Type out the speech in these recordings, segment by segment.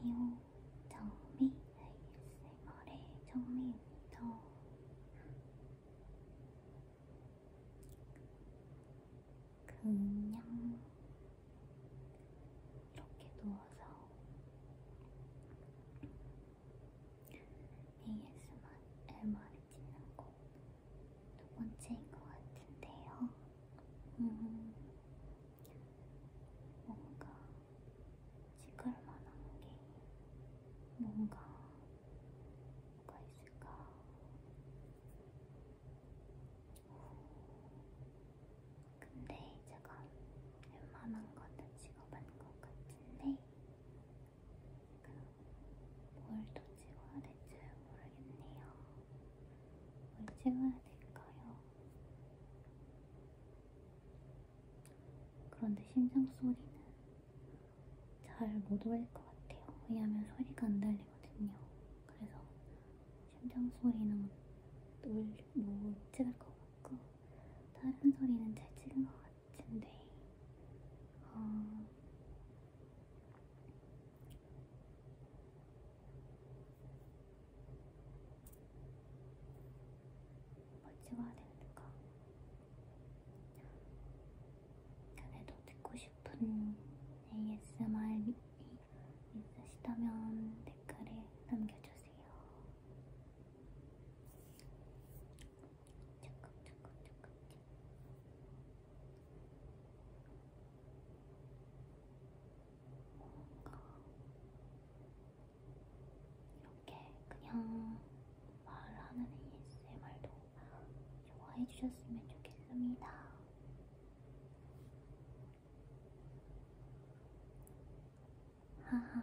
안녕하세요. 정미 ASMR의 네, 정미입니다. 그냥 이렇게 누워서 ASMR을 찍는 거두 번째인 것 같은데요. 음, 뭔가 찍을만한 게 뭔가 뭐가 있을까? 근데 제가 웬만한 거는 찍어본 것 같은데 그 뭘또 찍어야 될지 모르겠네요. 뭘 찍어야 될까요? 그런데 심장 소리는 잘 못 올릴 것 같아요. 왜냐하면 소리가 안 들리거든요. 그래서 심장 소리는 못 찍을 것 같고 다른 소리는 잘 찍은 것 같은데 어, 뭘 찍어야 되는가? 그래도 듣고 싶은 ASMR이 있으시다면 댓글에 남겨주세요. 조금 조금 조금 뭔가 이렇게 그냥 말하는 ASMR도 좋아해 주셨으면 좋겠습니다. 하하,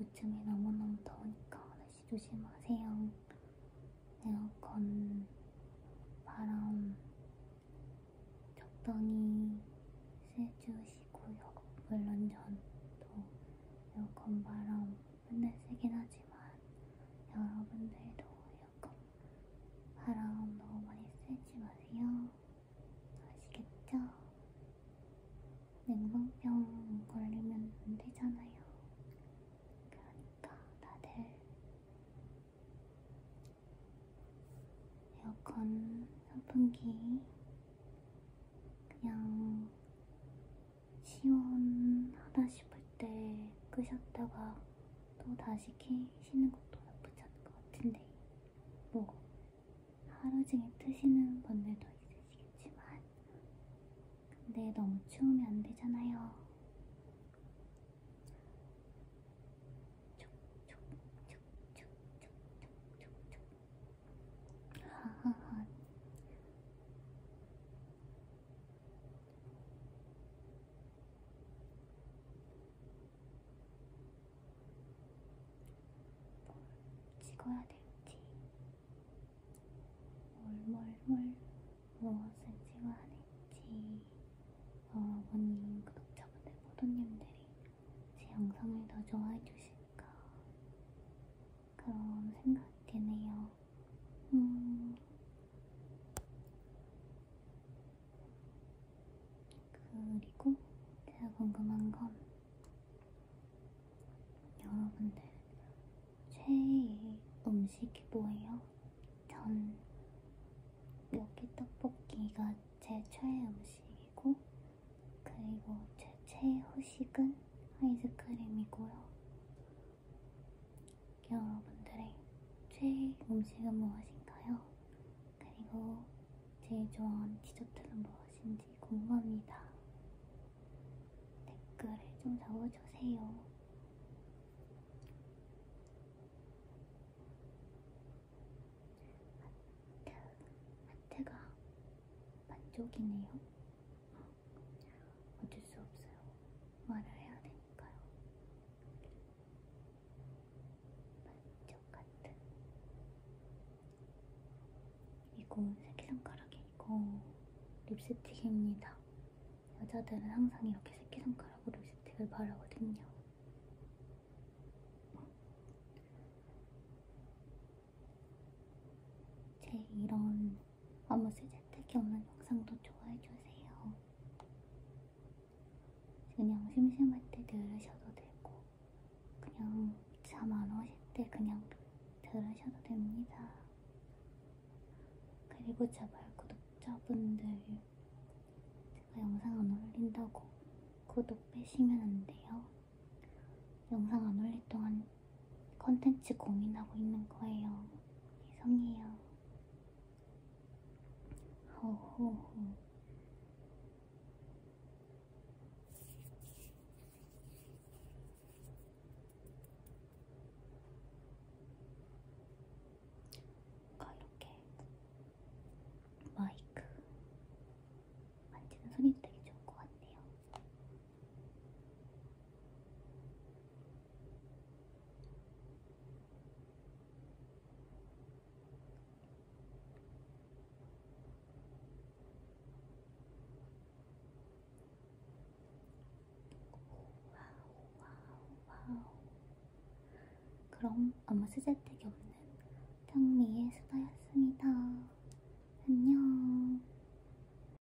요즘에 너무너무 더우니까 날씨 조심하세요. 에어컨 바람 적당히 쐬주시고요. 물론 전도 에어컨 바람 맨날 세긴 하지만 여러분들도 에어컨 바람 너무 많이 쐬지 마세요. 아시겠죠? 냉방병 걸리면 안 되잖아요. 그러니까 다들 에어컨, 선풍기 그냥 시원하다 싶을 때 끄셨다가 또 다시 켜시는 것도 나쁘지 않을 것 같은데 뭐 하루 종일 트시는 분들도 있으시겠지만, 근데 너무 추우면 안 되잖아요. 하하하. 뭘 찍어야 될지, 뭘뭘뭘 무엇을 찍어야 될지 여러분님 어, 구독자분들 모두님들이 제 영상을 더 좋아해 주실까 그런 생각이 드네요. 음, 그리고 제가 궁금한 건 여러분들 최애 음식이 뭐예요? 전 여기 떡볶이가 제 최애 음식이고 그리고 제 최애 후식은 아이스크림이고요. 여러분들의 최애 음식은 무엇인가요? 그리고 제일 좋아하는 디저트는 무엇인지 궁금합니다. 댓글을 좀 적어주세요. 하트, 하트가 만족이네요. 어쩔 수 없어요. 말을 해야 되니까요. 반쪽 같은 이거 새끼손가락이고 립스틱입니다. 여자들은 항상 이렇게 새끼손가락으로 립스틱을 바르거든요. 제 이런 아무 쓰잘데기 없는 영상도 좋아해주세요. 그냥 심심할 때 들으셔도 되고 그냥 잠 안 오실 때 그냥 들으셔도 됩니다. 그리고 제발 구독자분들 제가 영상 안 올린다고 구독 빼시면 안 돼요. 영상 안 올릴 동안 컨텐츠 고민하고 있는 거예요. 죄송해요. 허허허. 이렇게 마이크 만지는 소리도 되게 좋은 것 같네요. 와우. 그럼 아무 수제택이 없는 평미의 수다였습니다. 안녕.